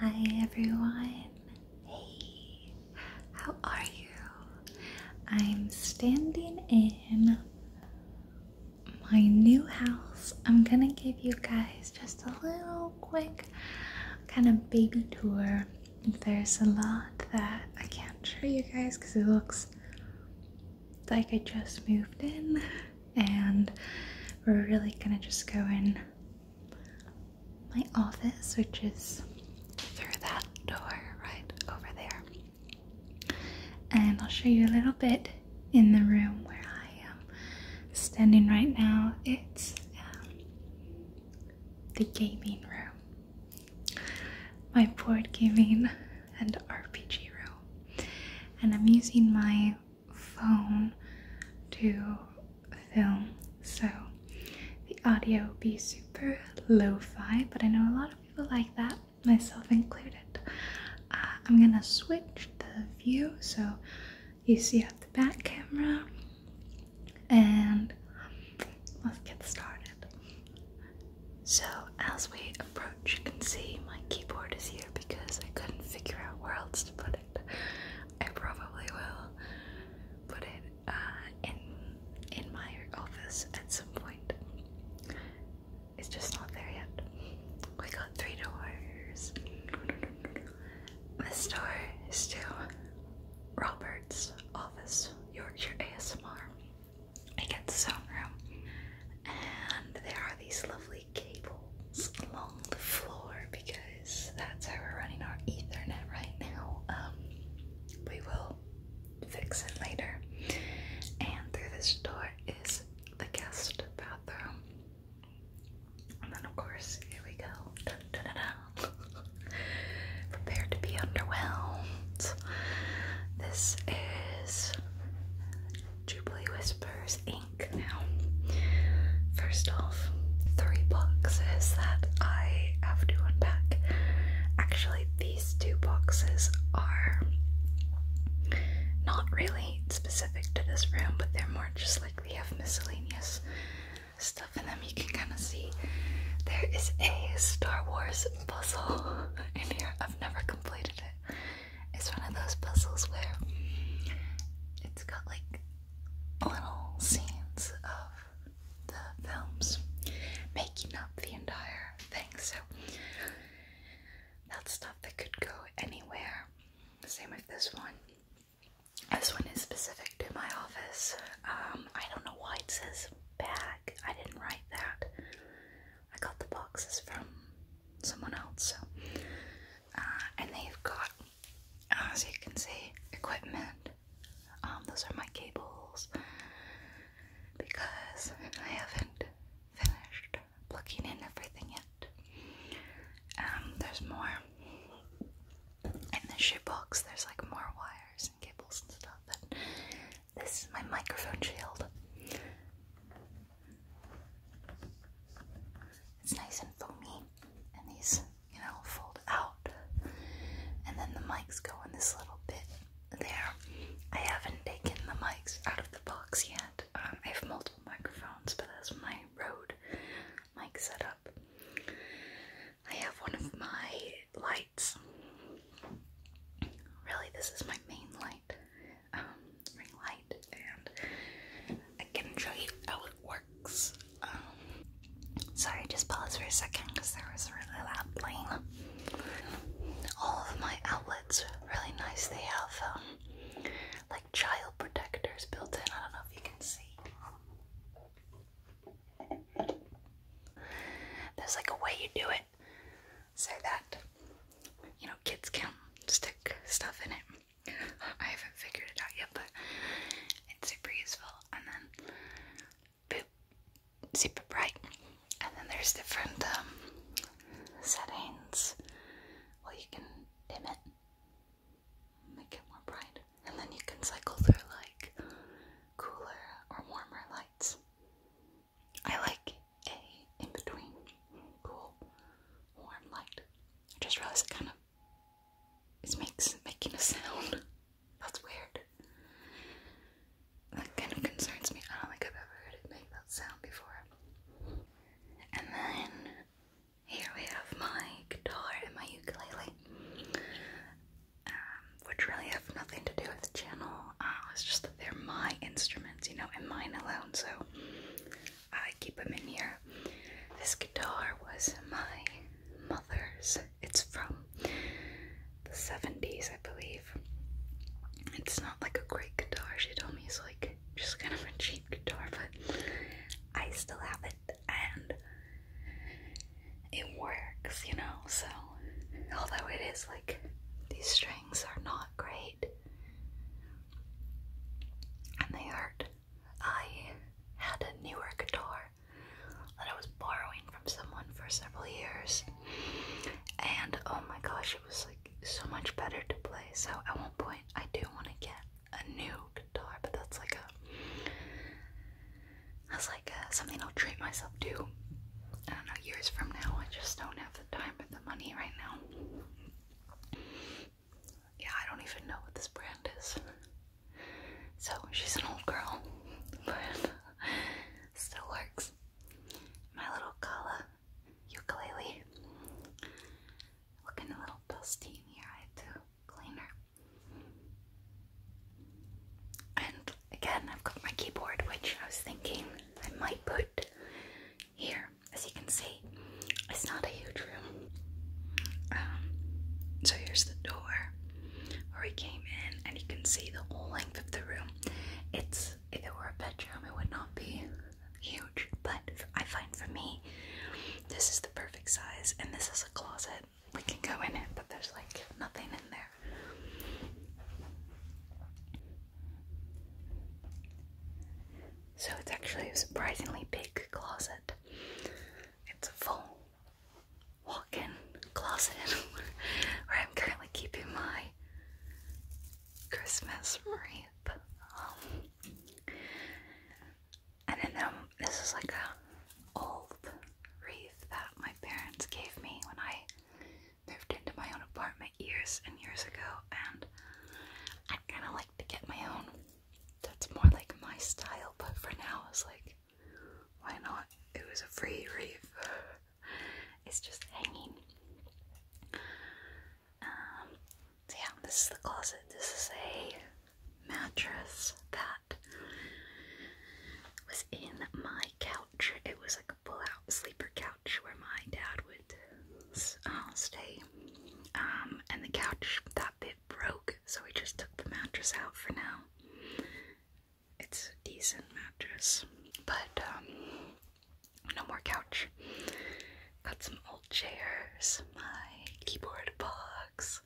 Hi everyone. Hey, how are you? I'm standing in my new house. I'm gonna give you guys just a little quick kind of baby tour. There's a lot that I can't show you guys because it looks like I just moved in and we're really gonna just go in my office, which is through that door right over there. And I'll show you a little bit in the room where I am standing right now. It's um, the gaming room, my board gaming and RPG room. And I'm using my phone to film, so the audio will be super lo fi, but I know a lot of people like that, myself included. Uh, I'm gonna switch the view so you see at the back camera, and let's get started. So, as we approach, you can see my keyboard is here because I couldn't figure out where else put it. I probably will put it uh, in in my office at some point. It's just not there yet. We got three doors. The store is to Robert's office, Yorkshire ASMR. It gets its and there are these lovely cables along the floor because that's how we're running our Ethernet right now. Um, we will fix it later. And through this door is the guest bathroom. And then, of course, here we go. Dun, to be underwhelmed. This is Jubilee Whispers now. First off, three boxes that I have to unpack. Actually, these two boxes are not really specific to this room, but they're more just like they have miscellaneous stuff in them. You can kind of see there is a Star Wars puzzle in here. I've never completed it. It's one of those puzzles where it's got like little scenes of the films making up the entire thing. So that stuff that could go anywhere. Same with this one. This one is specific to my office. Um, I don't know why it says bag. I didn't write that. I got the boxes from someone else, so uh, and they've got, as uh, you can see, equipment. Um, those are my cables because I haven't finished plugging in everything yet. Um, there's more in the box. There's like more wires and cables and stuff. this is my microphone shield. It's nice and foamy, and these, you know, fold out. And then the mics go in this little bit there. I haven't taken the mics out of the box yet. Um, I have multiple microphones, but that's my Rode mic setup. I have one of my lights. Really, this is my main light. Um, ring light and I can show you how it works. Um, sorry, just pause for a second because there was really loud playing. All of my outlets are really nice. They have um, like child protectors built in. I don't know if you can see. There's like a way you do it so that you know kids can stick stuff in it. I haven't figured it out yet, but it's super useful. And then boop, super bright. And then there's different um, settings. Well, you can dim it, make it more bright, and then you can cycle through like cooler or warmer lights. I like a in between cool, warm light. I just realized it kind of it makes making a sound. That's weird. That kind of concerns me. I don't think I've ever heard it make that sound before. And then here we have my guitar and my ukulele, um, which really have nothing to do with the channel. Uh, just they're my instruments, you know, and mine alone, so I keep them in here. This guitar was my mother's. It's from the 70s, I believe. It's not like a great guitar, she told me it's like just kind of a cheap guitar, but I still have it and it works, you know, so although it is like these strings are not great and they hurt. I had a newer guitar that I was borrowing from someone for several years. And oh my gosh, it was like so much better to play. So at one point, I do want to get a new guitar, but that's like a. That's like something I'll treat myself to. I don't know, years from now. I just don't have time or the money right now. Yeah, I don't even know what this brand is. So she's an old girl, but still works. My little Kala ukulele. Looking a little dusty in here, I had to clean her. And again, I've got my keyboard, which I was thinking I might put here. As you can see, it's not a huge room. Um, so here's the door where we came in, and you can see the whole length of the room. It's if it were a bedroom, it would not be huge, but I find for me, this is the perfect size, and this is a closet. We can go in it, but there's like nothing in there. So it's actually a surprisingly big closet. It's a full walk-in closet where I'm currently keeping my Christmas wreath. Um, and then um, this is like a old wreath that my parents gave me when I moved into my own apartment years and years ago, and I kind of like to get my own. That's more like my style, but for now, it's like, why not? It was a free reef. it's just hanging. Um, yeah, this is the closet. This is a mattress that was in my couch it was like a pull-out sleeper couch where my dad would uh, stay. Um, and the couch, that bit broke, so we just took the mattress out for now. It's a decent mattress, but um, no more couch. Got some old chairs, my keyboard box.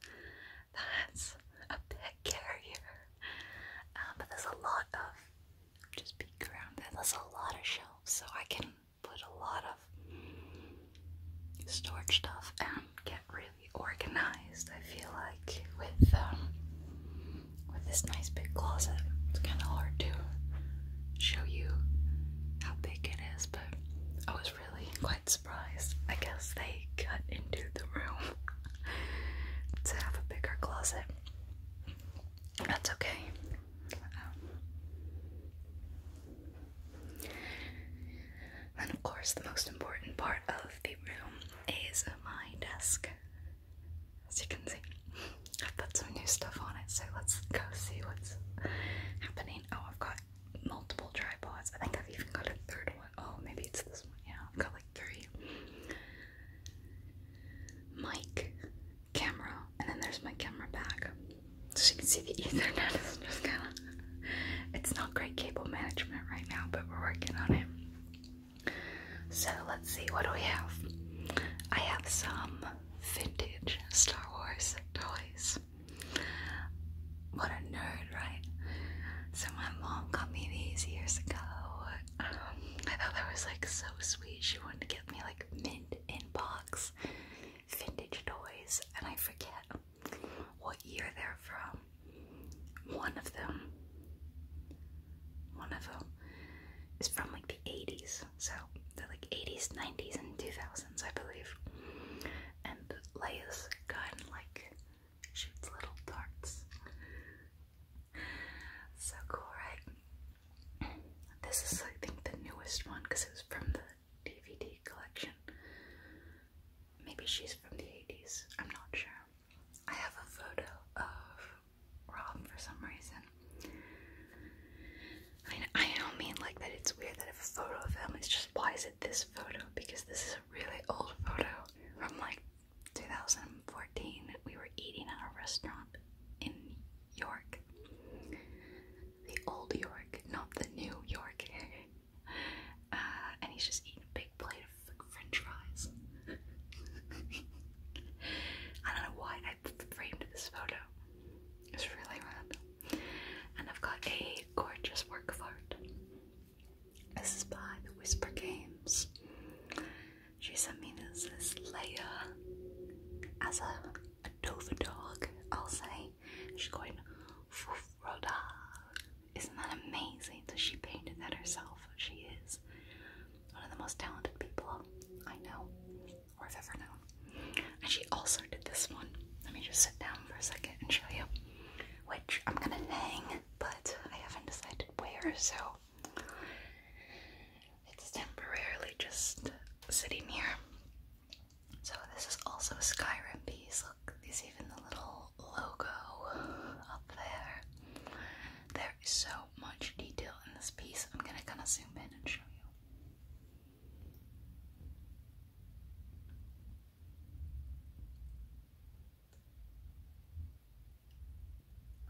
That's a pet carrier. Uh, but there's a lot of just peek around There's a lot of shelves, so I can put a lot of storage stuff and get really organized. I feel like with um, with this nice big closet, it's kind of hard to show you how big it is, but I was really quite surprised. I guess they cut into the room to have a bigger closet. That's okay. and of course, the most important part of the room is my desk. As you can see, I've put some new stuff on it, so let's go see what's happening. Oh, I've got multiple tripods. I think I've even got a third one. Oh, maybe it's this one. Yeah, I've got like three. Mic, camera, and then there's my camera bag. So you can see the Ethernet it's not great cable management right now, but we're working on it. So let's see, what do we have? I have some vintage Star Wars toys. What a nerd, right? So my mom got me these years ago. I thought that was like so sweet. She wanted to get me like mint in box vintage toys, and I forget what year they're from. One of them, one of them is from like the 80s, so they're like 80s, 90s, and 2000s, I believe. And Leia's gun like shoots little darts. So cool, right? This is, I think, the newest one because it was from the DVD collection. Maybe she's from the 80s, I'm not sure. I have a photo of Rob for some reason. I mean, I don't mean like that it's weird that I a photo of him, is just why is it this photo? Because this is a really old photo from like 2014, we were eating at a restaurant in York. The old York, not the new York. Uh, and he's just eating a big plate of french fries. I don't know why I framed this photo. It's really random. And I've got a gorgeous work of art. This is by the Whisper Games. She sent me this, layer as a, a dog, I'll say. She's going, Fufroda. Isn't that amazing that she painted that herself? She is one of the most talented people I know or I've ever known. And she also did this one. Let me just sit down for a second and show you. Which I'm gonna hang, but I haven't decided where, so it's temporarily just sitting here. So this is also a Skyrim piece. Look, there's even the little logo up there. There is so much detail in this piece. I'm gonna kind of zoom in and show you.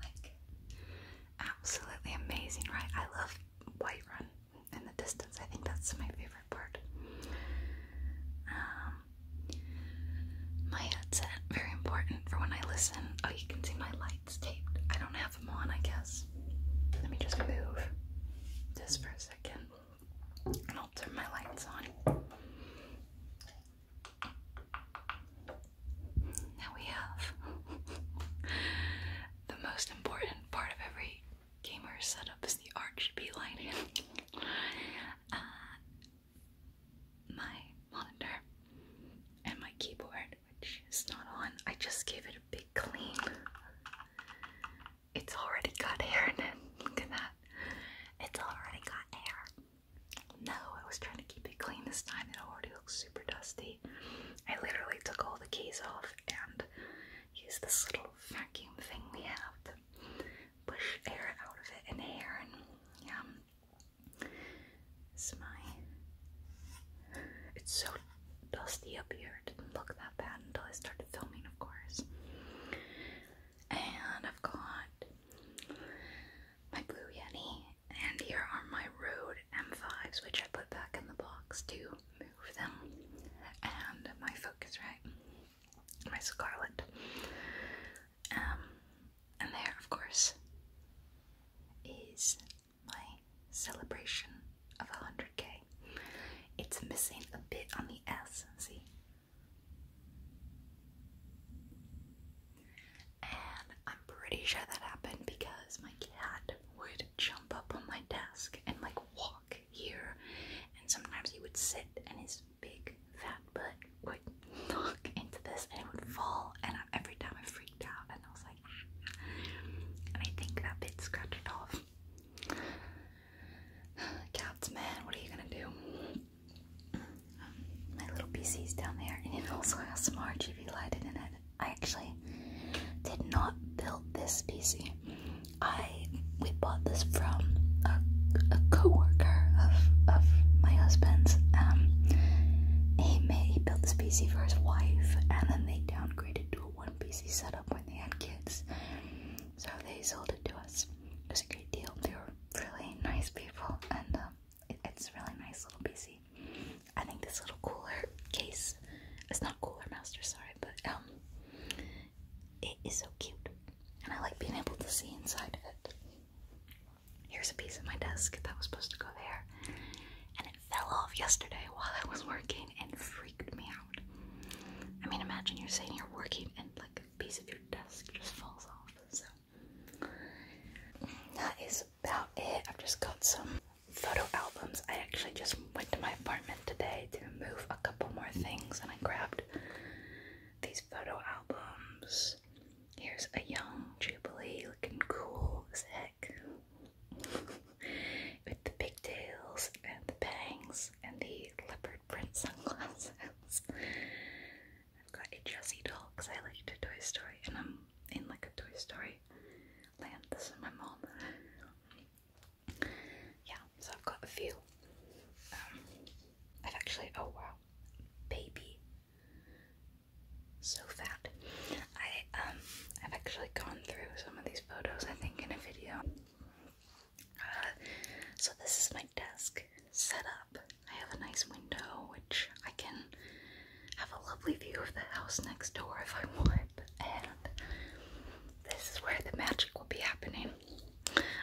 Like, absolutely amazing, right? I love white run in the distance. I think that's my favorite part. Um, my headset, very important for when I listen. Oh, you can see my lights taped. I don't have them on, I guess. Let me just move this for a second. And I'll turn my lights on. Now we have the most important part of every gamer setup is the RGB lighting. Uh, my monitor and my keyboard, which is not on. I just gave it a big clean. It's already got hair in it. Look at that. It's already got hair. No, I was trying to keep it clean this time. It already looks super dusty. I literally took all the keys off and used this little vacuum thing we have to push air out of it and hair and yeah. it's so dusty up here. It didn't look that bad until I started filming, of course. And I've got my blue Yeti, and here are my Rode M5s, which I put back in the box to move them, and my Focusrite, my Scarlett, um, and there, of course, is my celebration of 100k. It's missing a bit on the S, see? And I'm pretty sure that happened because my cat would jump up on my desk and like walk here, and sometimes he would sit, and his big fat butt would knock into this, and it would fall. And I, every time I freaked out, and I was like, ah. and I think that bit scratched it off. Cats, man, what are you gonna do? my little PC is down there, and it also has some RGB lighting in it. I actually did not build this PC. I we bought this from a, coworker of of my husband's. Um, he made he built this PC for his wife, and then they downgraded to a one PC setup when they had kids. So they sold it to us. It was a great deal. They really nice people, and um, it, it's really nice little PC. I think this little cooler case, it's not cooler master, sorry, but um, it is so cute, and I like being able to see inside of it. Here's a piece of my desk that was supposed to go there, and it fell off yesterday while I was working and freaked me out. I mean, imagine you're sitting here working and like piece of your desk just falls off. So that is about it. I've just got some photo albums. I actually just went to my apartment today to move a couple more things and I grabbed these photo albums. Here's a young Jubilee looking cool as heck with the pigtails and the bangs and the leopard print sunglasses. I've got a Jessie doll because I like a Toy Story and I'm in like a Toy Story land. This is my mom. Yeah, so I've got a few. Um, I've actually, oh wow, baby. So fat. I um I've actually gone through some of these photos I think in a video. Uh, so this is my desk set up. I have a nice window, which I can have a lovely view of the house next door if I want. And this is where the magic will be happening.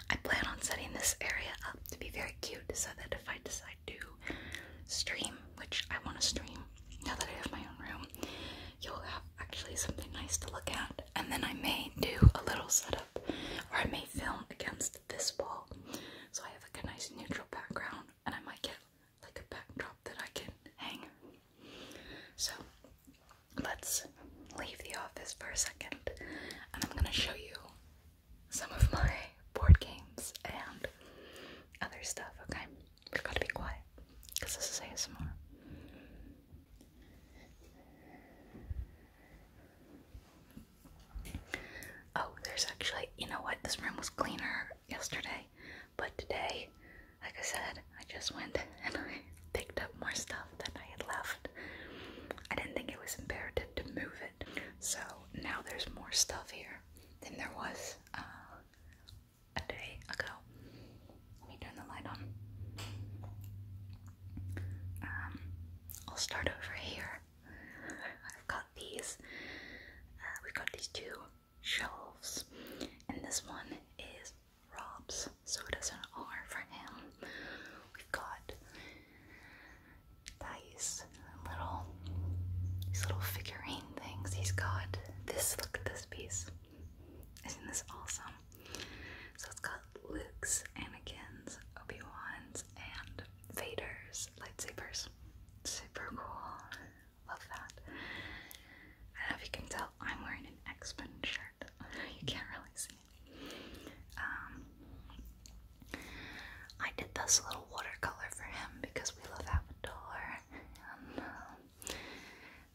I plan on setting this area up to be very cute so that if I decide to stream, which I want to stream now that I have my own room, you'll have actually something nice to look at. And then I may do a little setup or I may film against this wall. So I have like a nice neutral background and I might get like a backdrop that I can hang. So let's leave the office for a second and I'm gonna show you some of my board games and other stuff, okay? we are going to be quiet because this is ASMR. Oh, there's actually, you know what? This room was cleaner yesterday, but today, like I said, I just went and I picked up more stuff than I had left. I didn't think it was imperative to move it, so now there's more stuff here than there was uh, a day ago. Let me turn the light on. Um, I'll start over here. I've got these. Uh, we've got these two shelves, and this one is Rob's, so it is an R for him. We've got dice, little these little figurine things. He's got this. Look at this piece. Isn't this awesome? So it's got Luke's, Anakin's, Obi-Wan's, and Vader's lightsabers. Super cool. Love that. I don't know if you can tell, I'm wearing an X-Men shirt. you can't really see Um, I did this little watercolor for him because we love Avatar. And, um,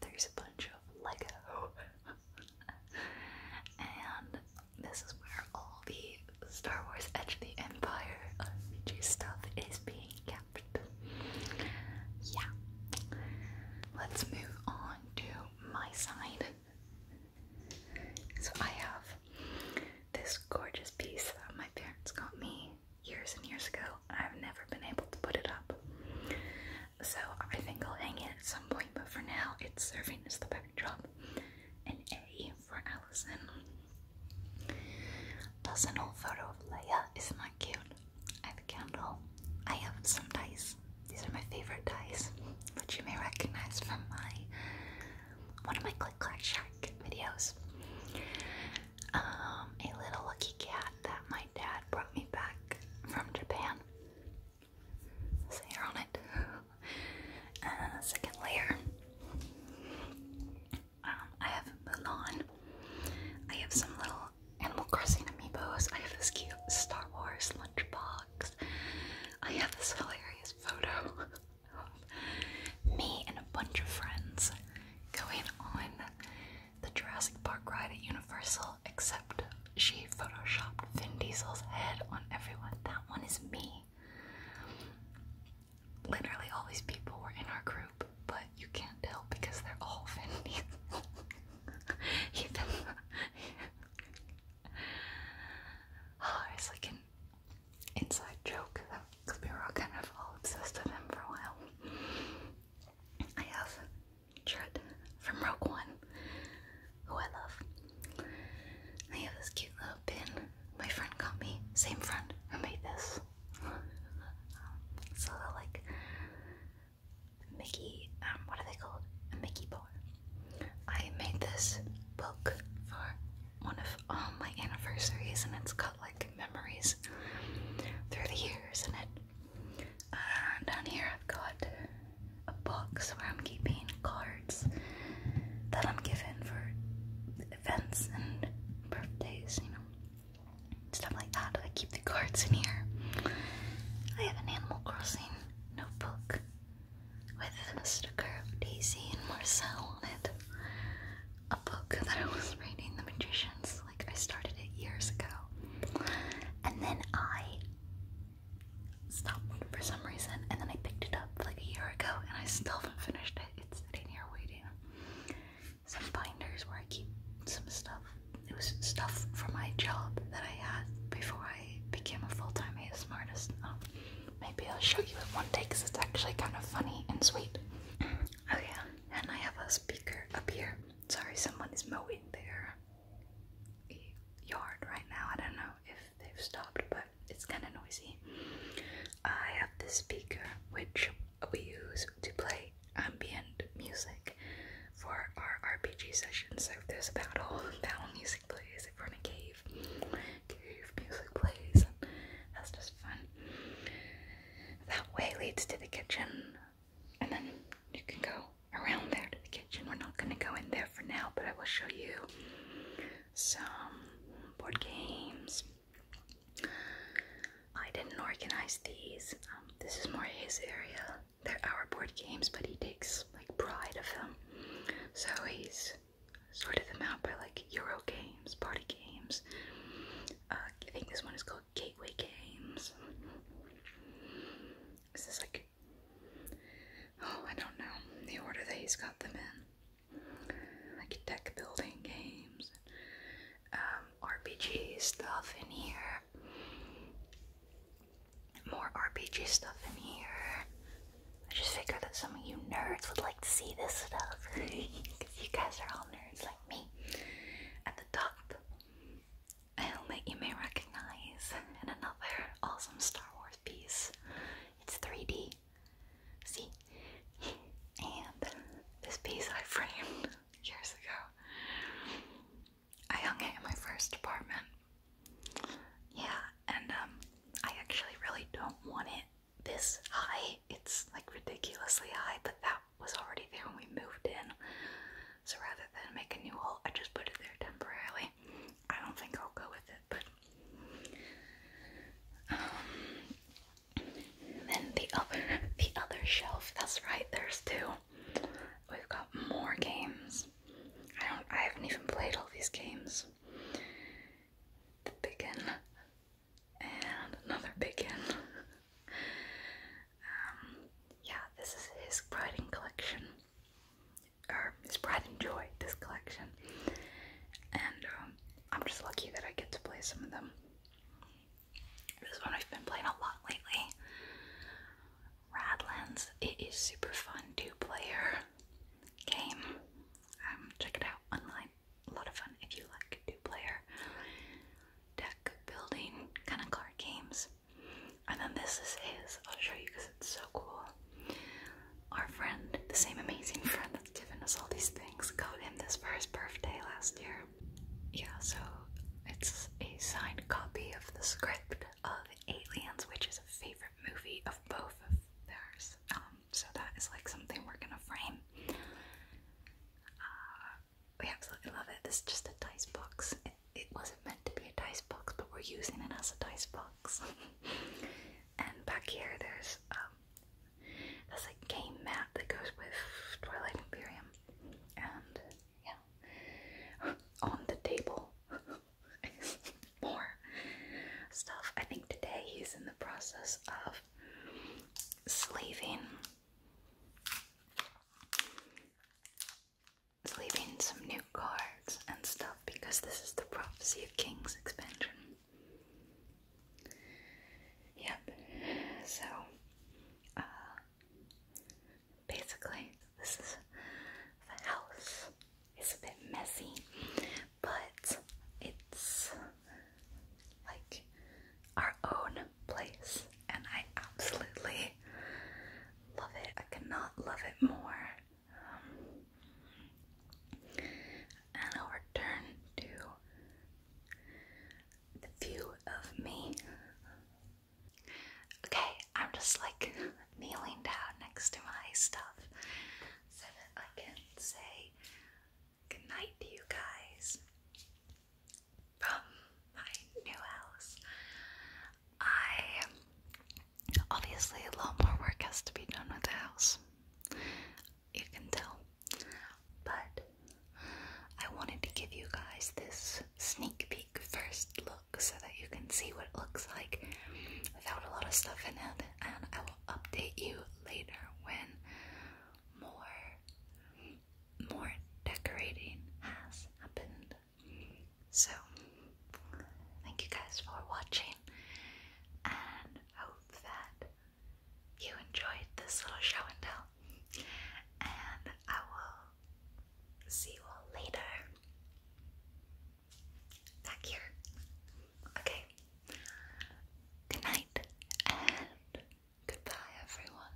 there's a bunch of Lego. and this is where all the Star Wars Edge of the Empire RPG stuff is being kept. Yeah. Let's move on to my side. So I have this gorgeous piece that my parents got me years and years ago. I've never been able to put it up so I think I'll hang it at some point, but for now it's serving as the backdrop. An A for Allison. Personal photo of Leia, isn't that cute? a candle. I have some dice. These are my favorite dice, which you may recognize from my one of my Click Clack Shack videos. Um, a little lucky cat that my dad brought me back from Japan. So you're on it. Uh, second layer. Um, I have Mulan. I have some little Animal Crossing amiibos. I have this cute Star Wars lunchbox. I have this hilarious photo of me and a bunch of friends going on the Jurassic Park ride at Universal except she photoshopped Vin Diesel's head on everyone. That one is me. Literally, all these people were in our group, but you can't tell because they're all Vin Diesel. Even. Oh, like an inside joke because we were all kind of all obsessed with him for a while. I have Chirrut from Rogue One, who I love. I have this cute little pin my friend got me, same friend made this. It's a little like Mickey, um, what are they called? Mickey bar. I made this book for one of all um, my anniversaries and it's got like memories through the years in it down here I've got a box where I'm keeping cards that I'm given for events and birthdays, you know, stuff like that. I keep the cards in here. I have an Animal Crossing notebook with a sticker of Daisy and Marcel on it. A book that I was reading, The Magicians like I started it years ago. And then I stopped for some reason and then I picked it up like a year ago and I still haven't finished it. It's sitting here waiting. Some binders where I keep some stuff. It was stuff from my job that I had before I became a full-time ASMR artist. Um, maybe I'll show you it one day because it's actually kind of funny and sweet. oh yeah, and I have a speaker up here. Sorry, someone is mowing there yard right now. I don't know if they've stopped, but it's kind of noisy. I have this speaker which we use to play ambient music for our RPG sessions. So if there's a battle, battle music plays. If we're in a cave, cave music plays. That's just fun. That way leads to the kitchen and then you can go around there to the kitchen. We're not going to go in there for now, but I will show you some board games. I didn't organize these. Um, this is more his area. They're our board games, but he takes like pride of them. So he's sorted them out by like Euro games, party games. Uh, I think this one is called Gateway Games. Is this like. Oh, I don't know. The order that he's got them in. Like deck building games, um, RPG stuff in here. More RPG stuff in here. I just figured that some of you nerds would like to see this stuff. Because you guys are all nerds like me. At the top, helmet you may recognize, and another awesome Star Wars piece. It's 3D. See? And this piece I framed years ago. I hung it in my first apartment. Yeah, and um, I actually really don't want it this high. It's like ridiculously high, but that was already there when we moved in. So rather than make a new hole, I just put it there temporarily. I don't think I'll go with it, but um, then the other the other shelf. That's right. There's two. We've got more games. I don't. I haven't even played all these games. The big and another big um, yeah, this is his pride and collection, or his pride and joy. This collection, and um, I'm just lucky that I get to play some of them. This one I've been playing a lot lately. Radlands. It is super fun to player game. Um, check it out online. A lot of fun if you like two-player deck building kind of card games. And then this is his. I'll show you because it's so cool. Our friend, the same amazing friend that's given us all these things, got him this for his birthday last year. Yeah, so it's a signed copy of the script of Aliens, which is a favorite movie of both of theirs. Um, so that is like something we're gonna frame. Uh, we absolutely love it. This is just a dice box. It, wasn't meant to be a dice box, but we're using it as a dice box. and back here, there's um, there's a game map that goes with Twilight Imperium, and yeah, on the table more stuff. I think today he's in the process of slaving was leaving some new cards and stuff because this is the Prophecy of Kings expansion. Yep, so uh, basically, this is the house. It's a bit messy, but it's like our own place, and I absolutely love it. I cannot love it more. Um, and I'll return to the view of me. Okay, I'm just like kneeling down next to my stuff so that I can say Good night to you guys from my new house. I obviously a lot more work has to be done with the house. You can tell. But I wanted to give you guys this sneak peek first look so that you can see what it looks like without a lot of stuff in it and I will update you later when more more decorating has happened. So, thank you guys for watching and hope that you enjoyed this little show and tell. And I will see you all later back here. Okay, good night and Goodbye, everyone.